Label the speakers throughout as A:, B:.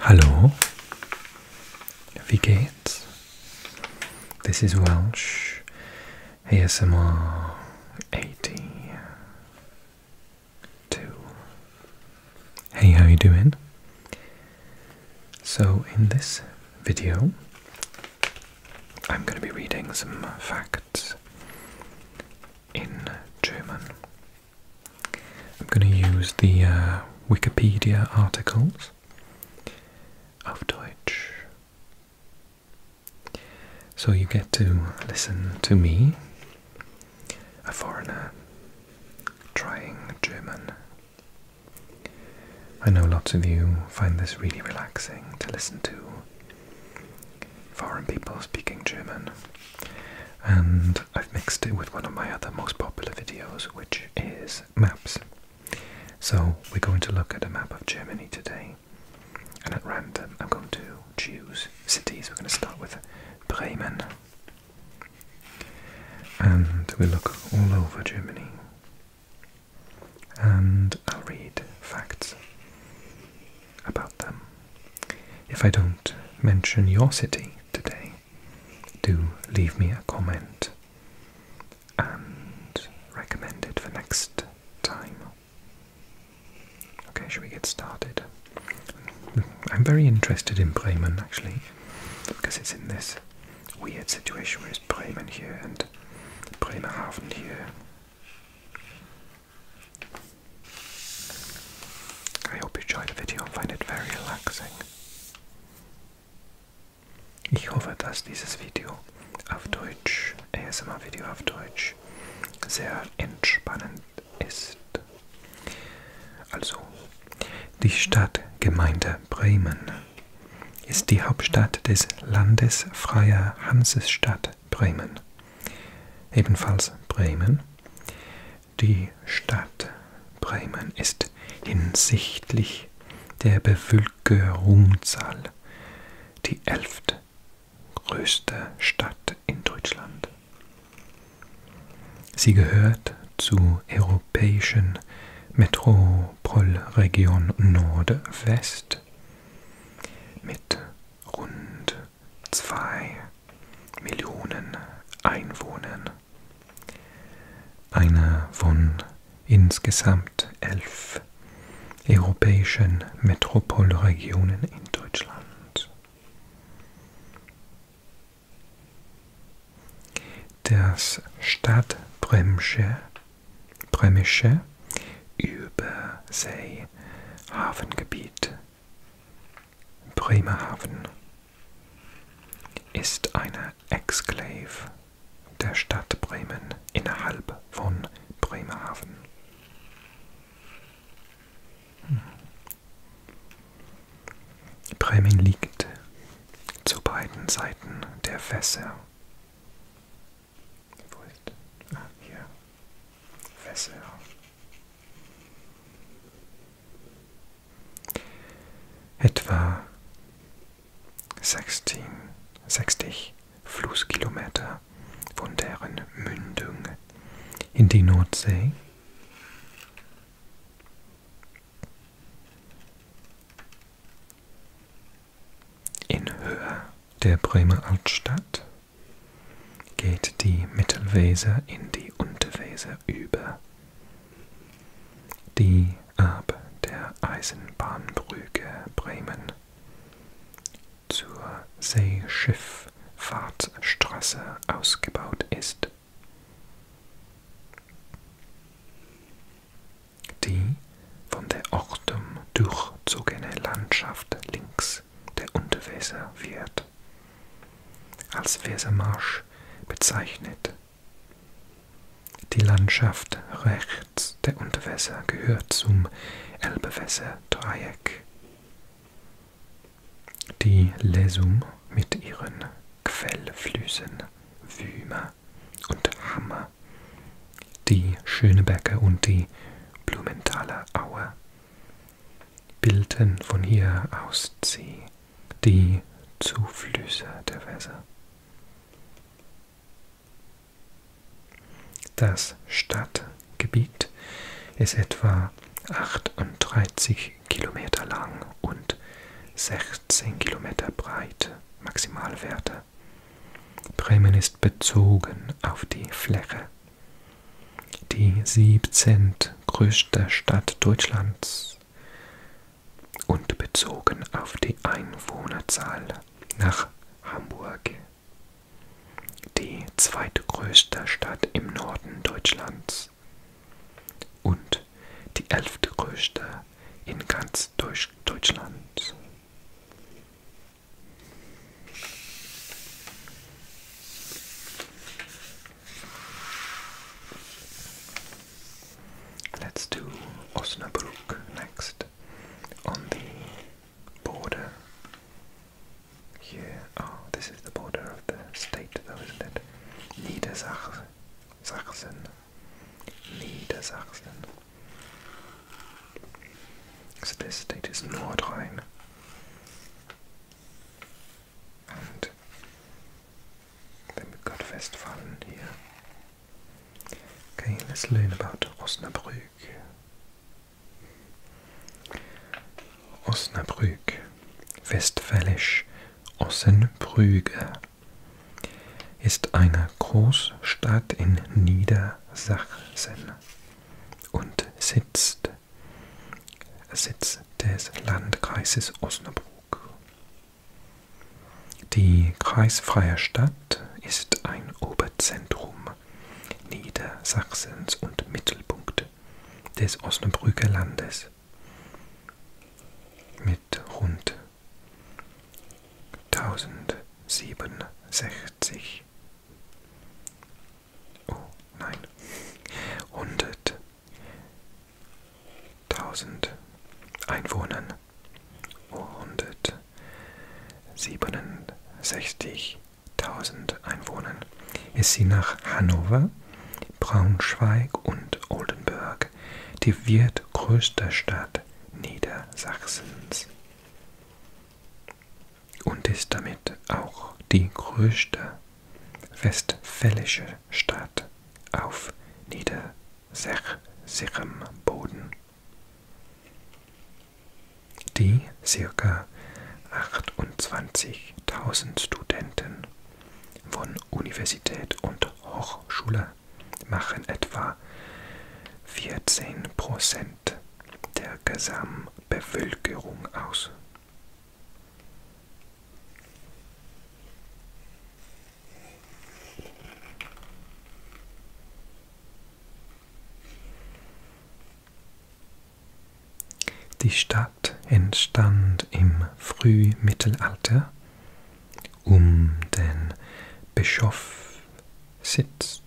A: Hallo, wie geht's? This is Welsh ASMR 82. Hey, how you doing? So in this video, I'm going to be reading some facts in German. I'm going to use the uh, Wikipedia articles of Deutsch. So you get to listen to me, a foreigner, trying German. I know lots of you find this really relaxing to listen to foreign people speaking German, and I've mixed it with one of my other most popular videos, which is maps. So, we're going to look at a map of Germany today, and at random, I'm going to choose cities. We're going to start with Bremen, and we'll look all over Germany. And I'll read facts about them. If I don't mention your city today, do leave me a comment and recommend it for next time. Okay, shall we get started? I'm very interested in Bremen actually, because it's in this weird situation where it's Bremen here and Bremerhaven here. I hope you enjoy the video and find it very relaxing. Ich hoffe, dass dieses Video auf Deutsch, ASMR-Video auf Deutsch, sehr entspannend ist. Also, die Stadtgemeinde Bremen ist die Hauptstadt des Landes Freier Hansestadt Stadt Bremen. Ebenfalls Bremen. Die Stadt Bremen ist hinsichtlich der Bevölkerungszahl die elftgrößte Stadt in Deutschland. Sie gehört zur europäischen Metropolregion Nordwest mit rund zwei Millionen Einwohnern. Einer von insgesamt elf europäischen Metropolregionen in Deutschland. Das Stadtbremische Bremische Übersee Hafengebiet Bremerhaven ist eine Exklave der Stadt Bremen innerhalb von Bremerhaven. Hm. Bremen liegt zu beiden Seiten der Fässer. Wo ist? Ah, hier. Fässer. Etwa 16, 60 Flusskilometer von deren Mündung in die Nordsee in Höhe der Bremer Altstadt geht die Mittelweser in die Unterweser über. Die ab der Eisenbahnbrücke Bremen zur Seeschifffahrtsstraße ausgebaut ist. Die von der Ortum durchzogene Landschaft links Kreis der Unterweser wird, als Wesermarsch bezeichnet. Die Landschaft rechts der Unterwässer gehört zum Elbewässer-Dreieck. Die Lesum mit ihren Quellflüssen Wümer und Hammer, die Schönebecker und die Blumenthaler Aue bilden von hier aus sie die Zuflüsse der Weser. Das Stadtgebiet ist etwa 38 Kilometer lang und 16 Kilometer breit, Maximalwerte. Bremen ist bezogen auf die Fläche die 17. größte Stadt Deutschlands und bezogen auf die Einwohnerzahl nach Hamburg, die zweitgrößte Stadt im Norden Deutschlands und die elftgrößte in ganz Deutschland. Let's do Osnabrück next on the border. Here, oh, this is the border of the state, though, isn't it? Niedersachsen. Niedersachsen. So this state is Nordrhein. Und damit Gott Westfalen here. Okay, let's learn about Osnabrück. Osnabrück, westfälisch Ossenbrüge, ist eine Großstadt in Niedersachsen und sitzt Sitz des Landkreises Osnabrück. Die kreisfreie Stadt ist ein Oberzentrum Niedersachsens und Mittelpunkt des Osnabrücker Landes. Mit rund 1067 Oh, nein. Hundert. Tausend Einwohnern. Oh, hundert. Siebenundsechzigtausend Einwohnern ist sie nach Hannover, Braunschweig und Oldenburg die viertgrößte Stadt Niedersachsens und ist damit auch die größte westfälische Stadt auf niedersächsischem Boden. Die ca. 28.000 Studenten von Universität und Hochschule machen etwa 14% der Gesamtbevölkerung aus. Die Stadt entstand im Frühmittelalter um den Bischofssitz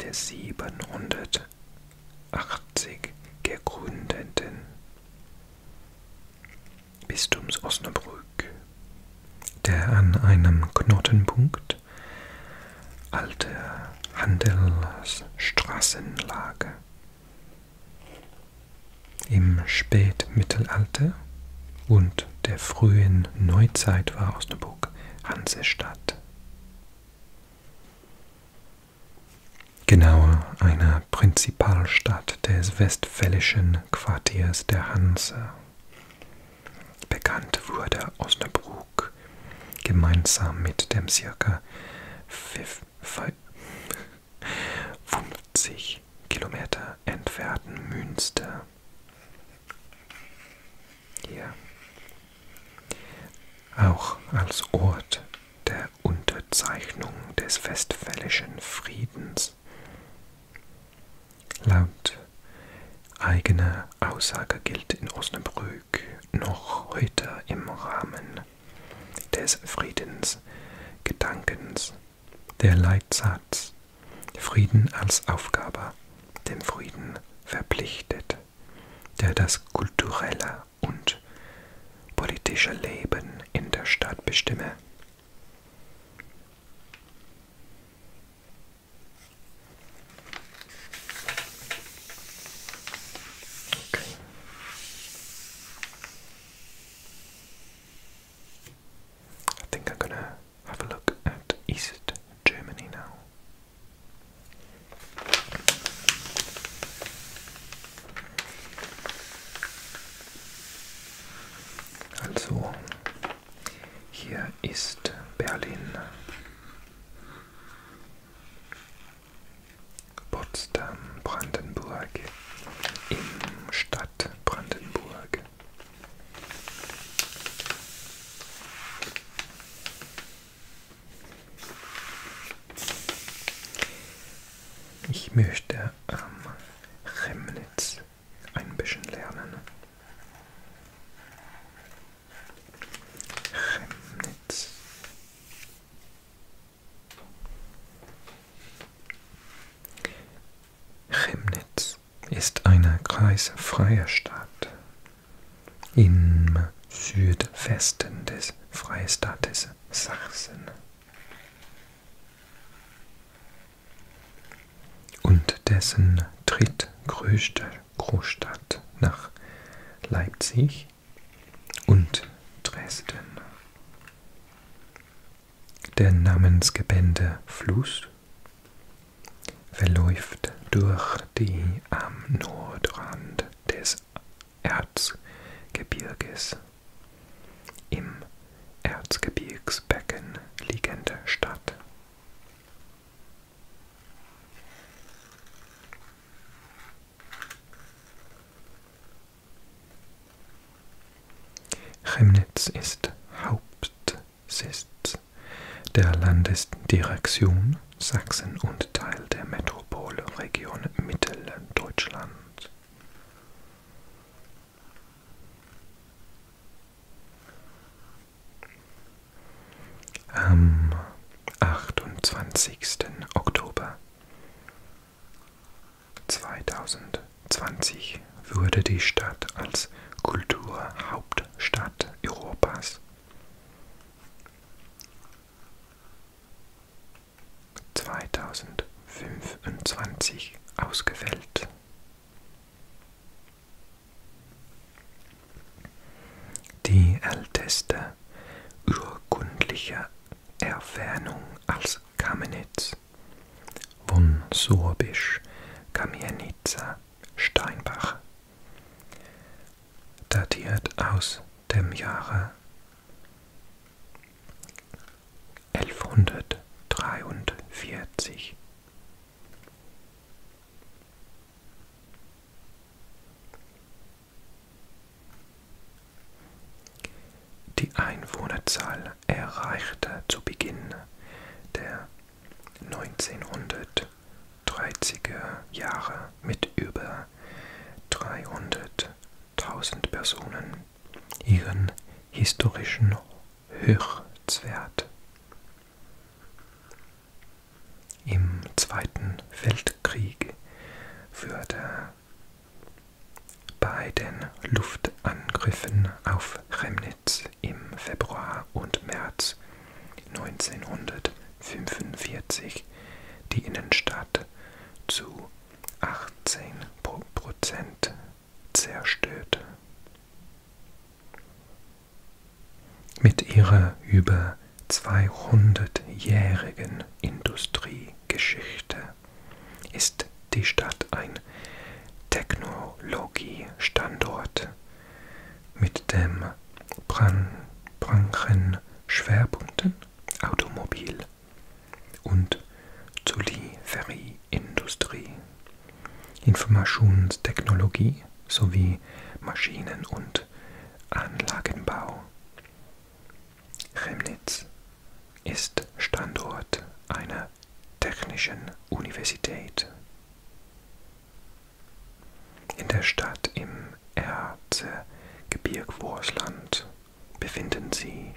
A: der 700 1980 gegründeten Bistums Osnabrück, der an einem Knotenpunkt alter Handelsstraßen lag. Im Spätmittelalter und der frühen Neuzeit war Osnabrück Hansestadt genauer einer Prinzipalstadt des westfälischen Quartiers der Hanse. Bekannt wurde Osnabrück gemeinsam mit dem circa 50 Kilometer entfernten Münster. Hier auch als Ort der Unterzeichnung des Westfälischen Friedens. Laut eigener Aussage gilt in Osnabrück noch heute im Rahmen des Friedensgedankens der Leitsatz Frieden als Aufgabe, dem Frieden verpflichtet der das kulturelle und politische Leben in der Stadt bestimme. Okay. I think I'm gonna have a look at East Germany now. Also, hier ist Berlin, Potsdam, Brandenburg, im Stadt Brandenburg. Ich möchte am ähm, Remnitz ein bisschen lernen. Remnitz. Chemnitz ist eine kreisfreie Stadt im Südwesten des Freistaates Sachsen und dessen drittgrößte Großstadt nach Leipzig und Dresden. Der namensgebende Fluss verläuft durch die am Nordrand des Erzgebirges. Im Erzgebirgsbecken liegende Stadt. Chemnitz ist Hauptsitz der Landesdirektion Sachsen und Teil der Metropolregion Mitteldeutschland. Am 28. Oktober 2020 wurde die Stadt als Kulturhauptstadt Europas 2025 ausgewählt. Die älteste urkundliche Erwähnung als Kamenitz von Sorbisch Kamienica Steinbach datiert aus dem Jahre 1143. Die Einwohnerzahl erreichte zu Beginn der 1900 30er Jahre mit über 300.000 Personen ihren historischen Höchstwert. Im Zweiten Weltkrieg wurde bei den Luftangriffen auf Chemnitz im Februar und März 1945 45 die Innenstadt zu 18 Prozent zerstört. Mit ihrer über 200-jährigen Industriegeschichte ist die Stadt ein Technologiestandort mit dem Branchen Schwerpunkten Automobil- und Zulieferindustrie, Informationstechnologie sowie Maschinen- und Anlagenbau. Chemnitz ist Standort einer technischen Universität. In der Stadt im Erzgebirge Wurschland befinden sich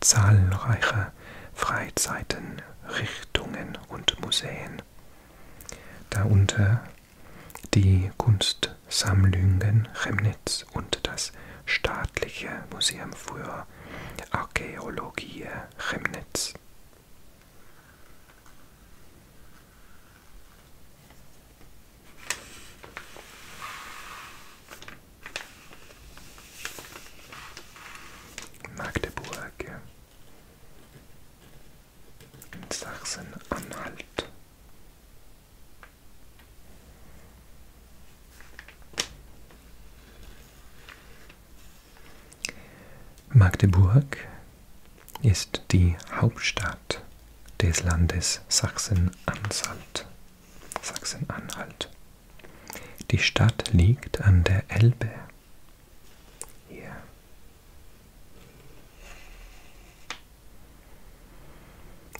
A: zahlreiche Freizeitenrichtungen und Museen, darunter die Kunstsammlungen Chemnitz und das Staatliche Museum für Archäologie Chemnitz. Magdeburg in Sachsen-Anhalt. Magdeburg ist die Hauptstadt des Landes Sachsen-Anhalt. Sachsen-Anhalt. Die Stadt liegt an der Elbe. Hier.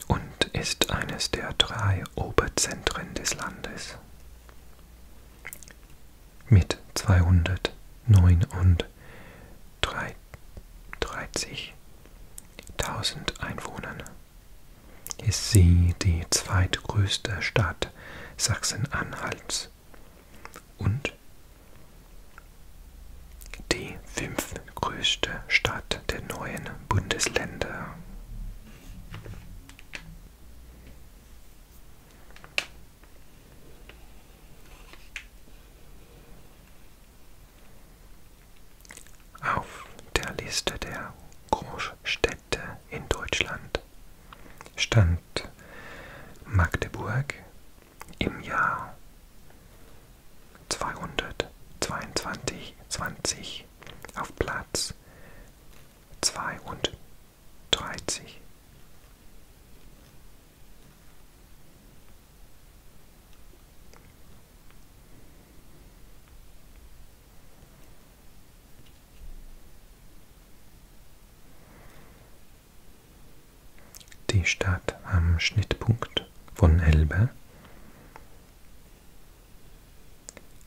A: Und ist eines der drei Oberzentren des Landes. Mit 209 30.000 Einwohnern ist sie die zweitgrößte Stadt Sachsen-Anhalts und die fünftgrößte Stadt der neuen Bundesländer. Auf der Liste der Großstädte in Deutschland stand Magdeburg im Jahr 222 20 auf Platz 32. Die Stadt am Schnittpunkt von Elbe,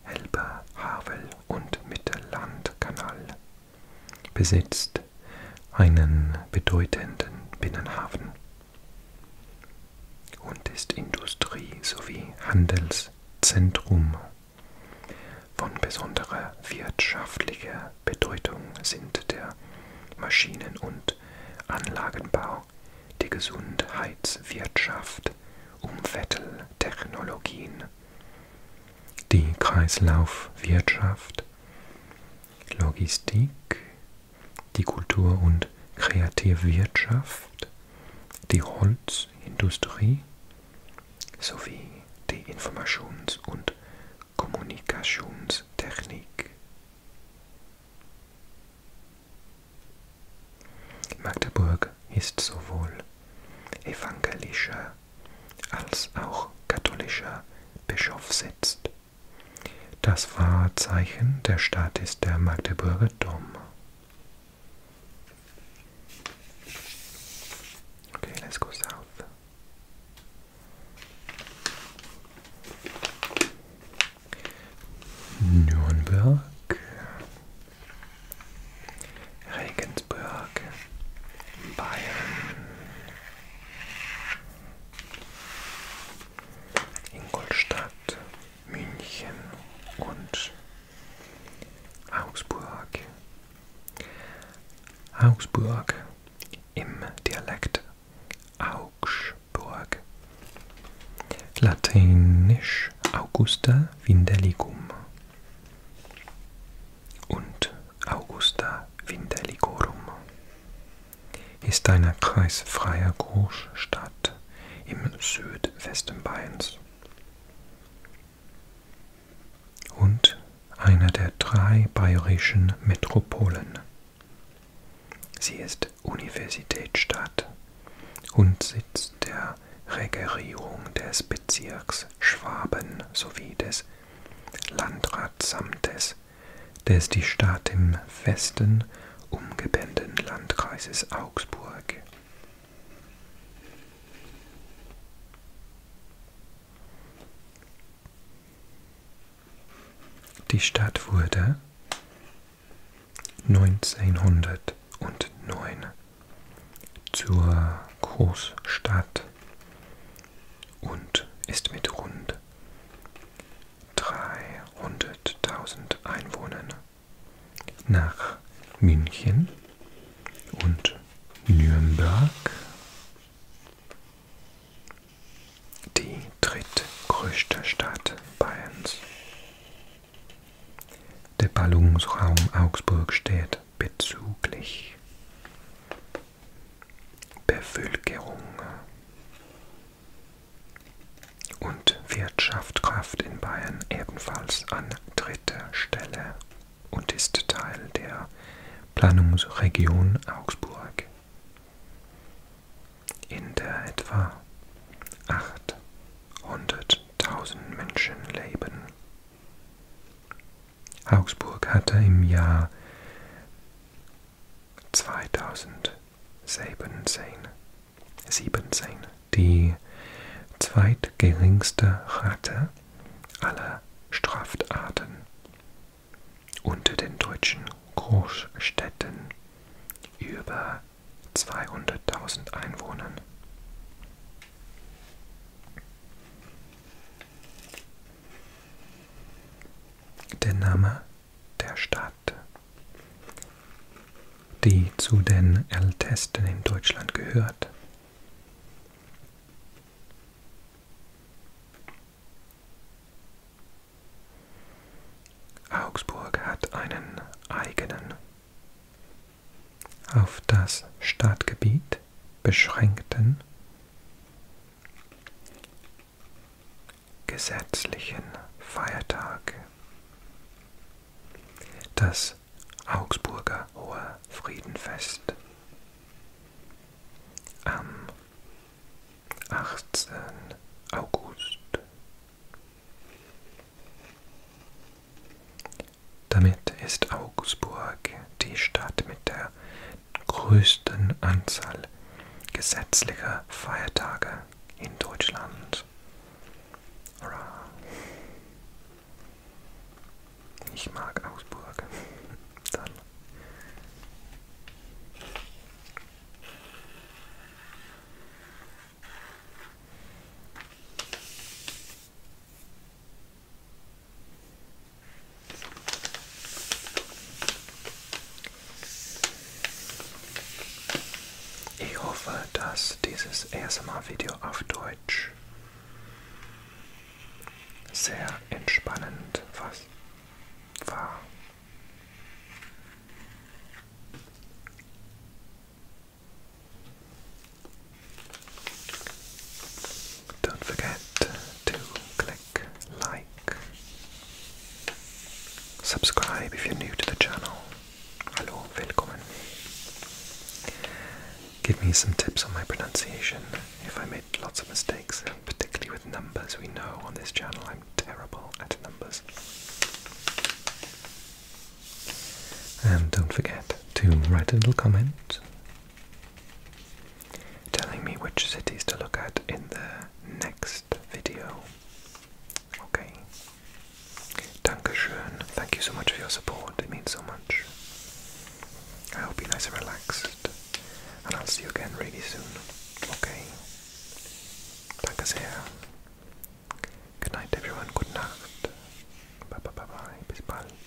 A: Elbe, Havel und Mittellandkanal besitzt einen bedeutenden Binnenhafen und ist Industrie- sowie Handelszentrum. Von besonderer wirtschaftlicher Bedeutung sind der Maschinen- und Anlagenbau, die Gesundheitswirtschaft, Umwelttechnologien, die Kreislaufwirtschaft, Logistik, die Kultur- und Kreativwirtschaft, die Holzindustrie sowie die Informations- und Kommunikationstechnik. Magdeburg ist sowohl evangelischer als auch katholischer Bischofssitz das Wahrzeichen der Stadt ist der Magdeburger Dom. Okay, let's go south. Nürnberg, Regensburg, Bayern, Ingolstadt, München und Augsburg. Augsburg im Dialekt Augsburg. Lateinisch Augusta Vindelicum und Augusta Vindelicorum ist eine kreisfreie Großstadt im Südwesten Bayerns und eine der drei bayerischen Metropolen. Sie ist Universitätsstadt und Sitz der Regierung des Bezirks Schwaben sowie des Landratsamtes des die Stadt im festen, umgebenden Landkreises Augsburg. Die Stadt wurde 1909 zur Großstadt und ist mit rund 300.000 Einwohnern nach München und Nürnberg, die drittgrößte Stadt Bayerns. Der Ballungsraum Augsburg steht bezüglich Bevölkerung und Wirtschaft greift in Bayern ebenfalls an dritter Stelle und ist Teil der Planungsregion Augsburg. In der etwa 800.000 Menschen leben. Augsburg hatte im Jahr 2017 17, die zweitgeringste Rate aller Straftaten unter den deutschen Großstädten über 200.000 Einwohnern. Der Name der Stadt, die zu den ältesten in Deutschland gehört. Augsburg hat einen eigenen, auf das Stadtgebiet beschränkten gesetzlichen Feiertag. Das Augsburger Hohe Friedenfest am 18. August. Damit ist Augsburg die Stadt mit der der größten Anzahl gesetzlicher Feiertage in Deutschland. Ich mag Augsburg. Dann. Ich hoffe, dass dieses erste Mal Video auf Deutsch sehr entspannend war. Don't forget to click like, subscribe if you're new to the channel. Hello, willkommen. Give me some tips on my pronunciation if I made lots of mistakes, particularly with numbers. We know on this channel I'm terrible at numbers. And don't forget to write a little comment telling me which cities to look at in the next video. Okay. Dankeschön. Thank you so much for your support. It means so much. I hope you're nice and relaxed. And I'll see you again really soon. Okay. Danke Good night everyone. Good night. Bye bye bye bye. Bis bald.